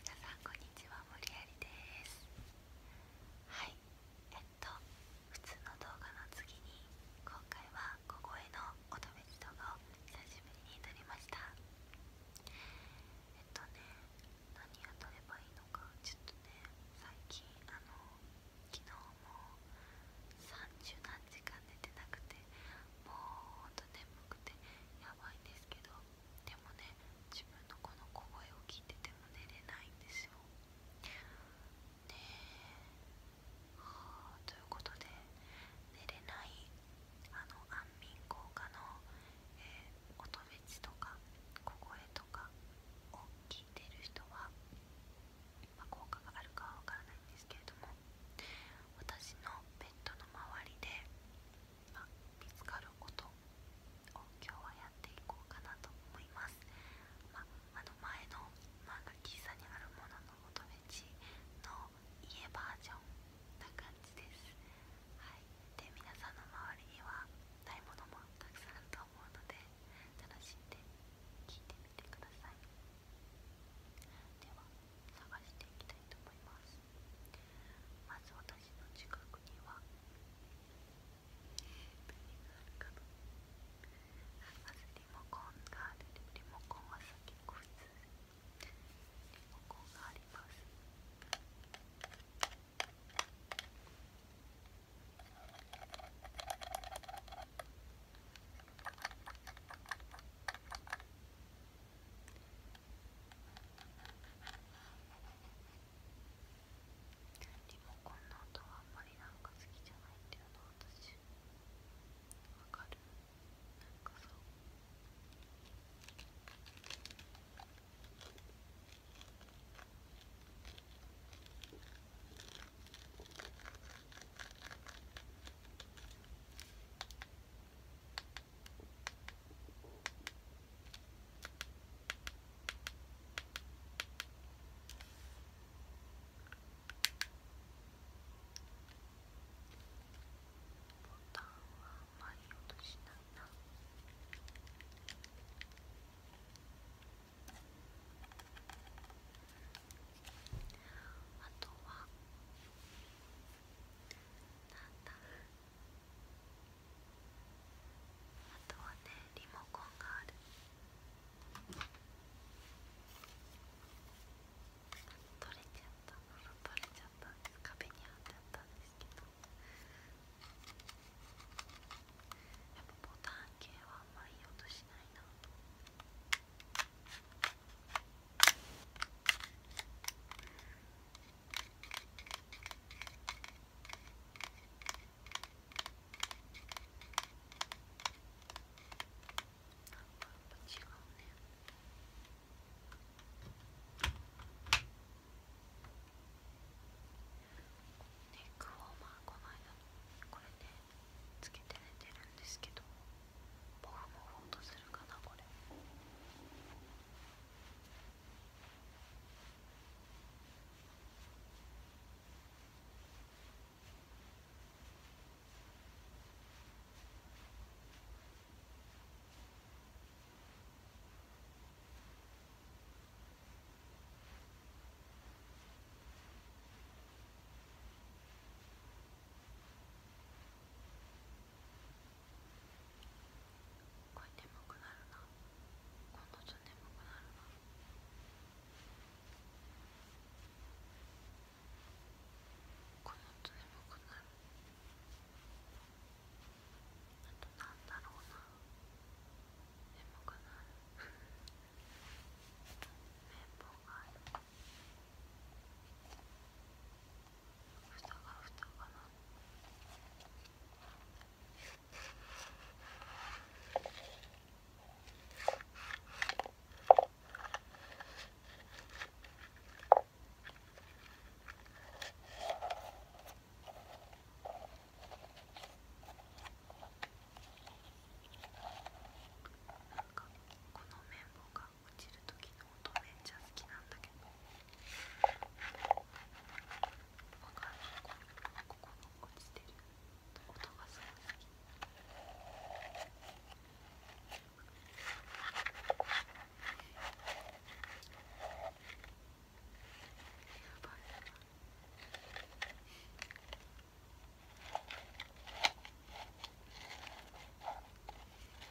皆さんこんにちは、森有ですはい、えっと普通の動画の次に今回は小声の音乙女動画を久しぶりに撮りましたえっとね、何を撮ればいいのかちょっとね、最近あの昨日も30何時間寝てなくてもうほんと眠くてやばいんですけどでもね自分のこの小声を聞いてても寝れないんですよねということで寝れないあの安眠効果の、え音フェチとか小声とかを聞いてる人は、ま効果があるかはわからないんですけれども私のベッドの周りで見つかることを今日はやっていこうかなと思います、まあ、の前の漫画喫茶にあるものの求め地の家バージョンな感じです、はい、で皆さんの周りにはないものもたくさんあると思うので楽しんで聞いてみてくださいでは探していきたいと思いますまず私の近くには何があるかなまずリモコンがあるリモコンはさっきこいつリモコンがありますリモコンの音はあんまりなんか好きじゃないっていうの私わかるなんかそうタンはあまり落としないな。あとは。だあとはねリモコンがある取れちゃった取れちゃった壁に貼ってあったんですけどやっぱボタン系はあんまりいい音しないなと。ネックウこの間これね、つけて寝てるんですけど。僕もほんとするかなこれこれ眠くなるなこ度ちょ眠くなるなこのと眠くなるあとなんだろうな眠くなる綿棒があるか。蓋が蓋かななんかこの綿棒が落ちる時の音めっちゃ好きなんだけどわかんないここの落ちてる音がすごい好き。やばいな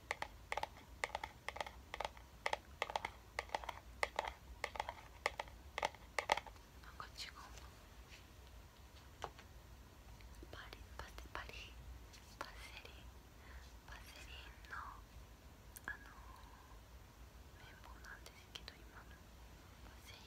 なんか違うパリパセパリパセリパセリンのあのー、綿棒なんですけど今のパセリン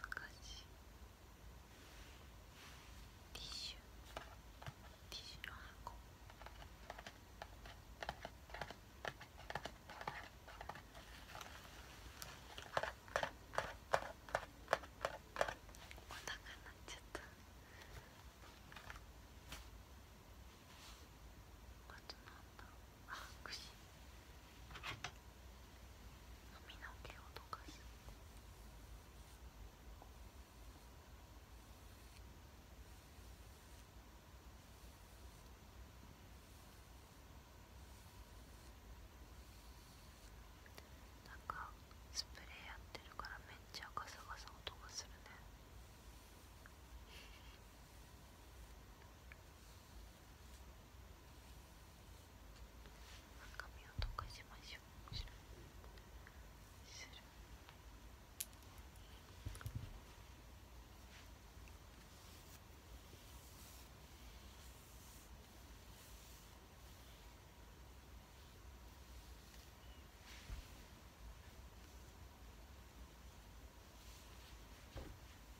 難しいティッシュティッシュの箱お腹なっちゃったあとなんだろうあくし髪の毛を溶かすなんかスプレーやってるからめっちゃガサガサ音がするね赤みを溶かしましょう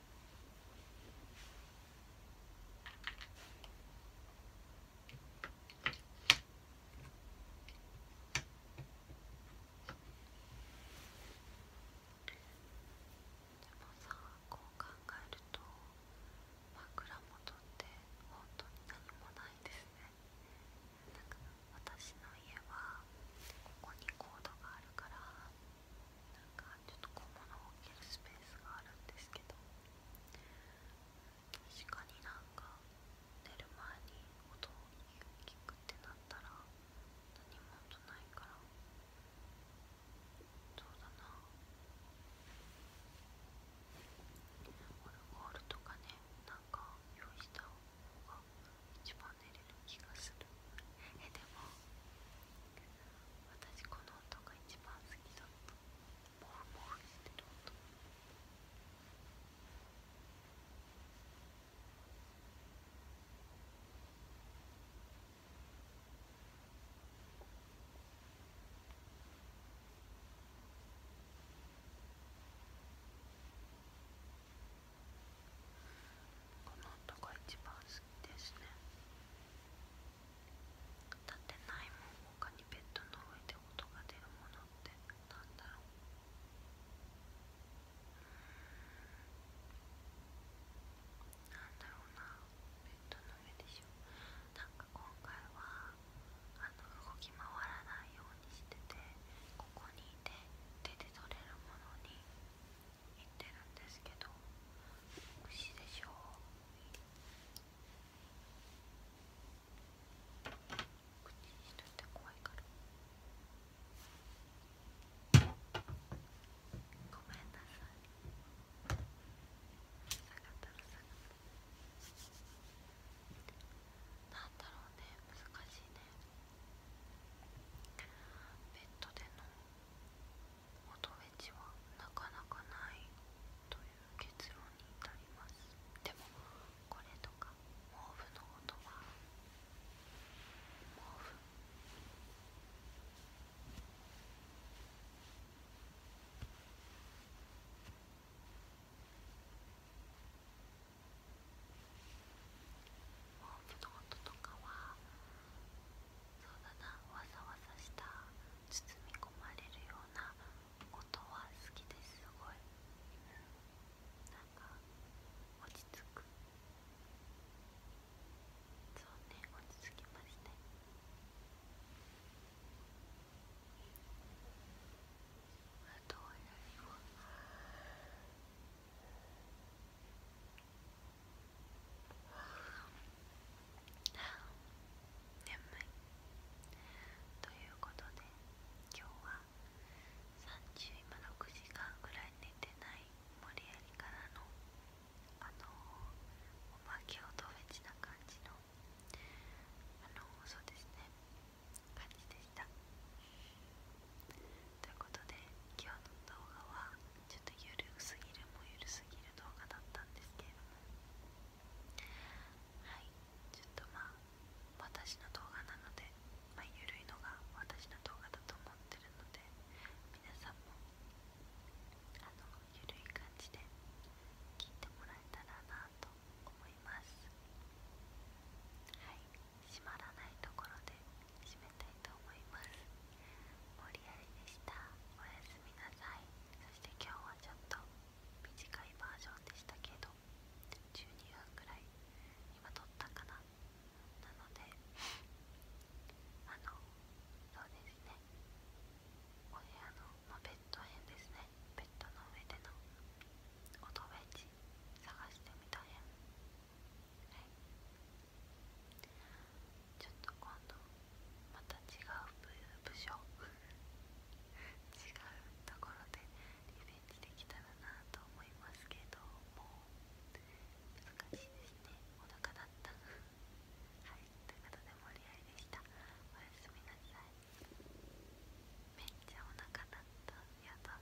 でもさこう考えると枕元って本当に何もないですねなんか私の家はここにコードがあるからなんかちょっと小物を置けるスペースがあるんですけど確かになんか寝る前に音を聞くってなったら何も音ないからそうだなオルゴールとかねなんか用意した方が一番寝れる気がするえでも私この音が一番好きだったこの音が一番好きですね。立てないもん他にベッドの上で音が出るものってなんだろうなんだろうなベッドの上でしょなんか今回はあの動き回らないようにしててここにいて手で取れるものに言ってるんですけど美味でしょ口にしとて怖いからごめんなさいなんだろうね難しいねベッドでの音フェチはなかなかないという結論に至りますでもこれとか毛布の音は毛布毛布の音とかはそうだなわざわざした包み込まれるようなことは好きですごい、うなんか落ち着くそうね落ち着きましたあとは何も。眠いということで今日は30今6時間ぐらい寝てない無理やりからのあのお化けをとフェチな感じのあのそうですね感じでしたということで今日の動画はちょっとゆるすぎるもゆるすぎる動画だったんですけれどもはいちょっとまあ私の動画なのでまゆるいのが私の動画だと思ってるので皆さんもあのゆるい感じで聞いてもらえたらなと思いますはい閉まらないところでたいと思います無理やりでしたおやすみなさいそして今日はちょっと短いバージョンでしたけど12分くらい今撮ったかななのであのそうですねお部屋の、まベッド編ですねベッドの上でのおとべち探してみた編ちょっと今度また違う部署違うところでリベンジできたらなと思いますけども難しいですねお腹だったはいということで盛り合いでしたおやすみなさいめっちゃお腹だったやだ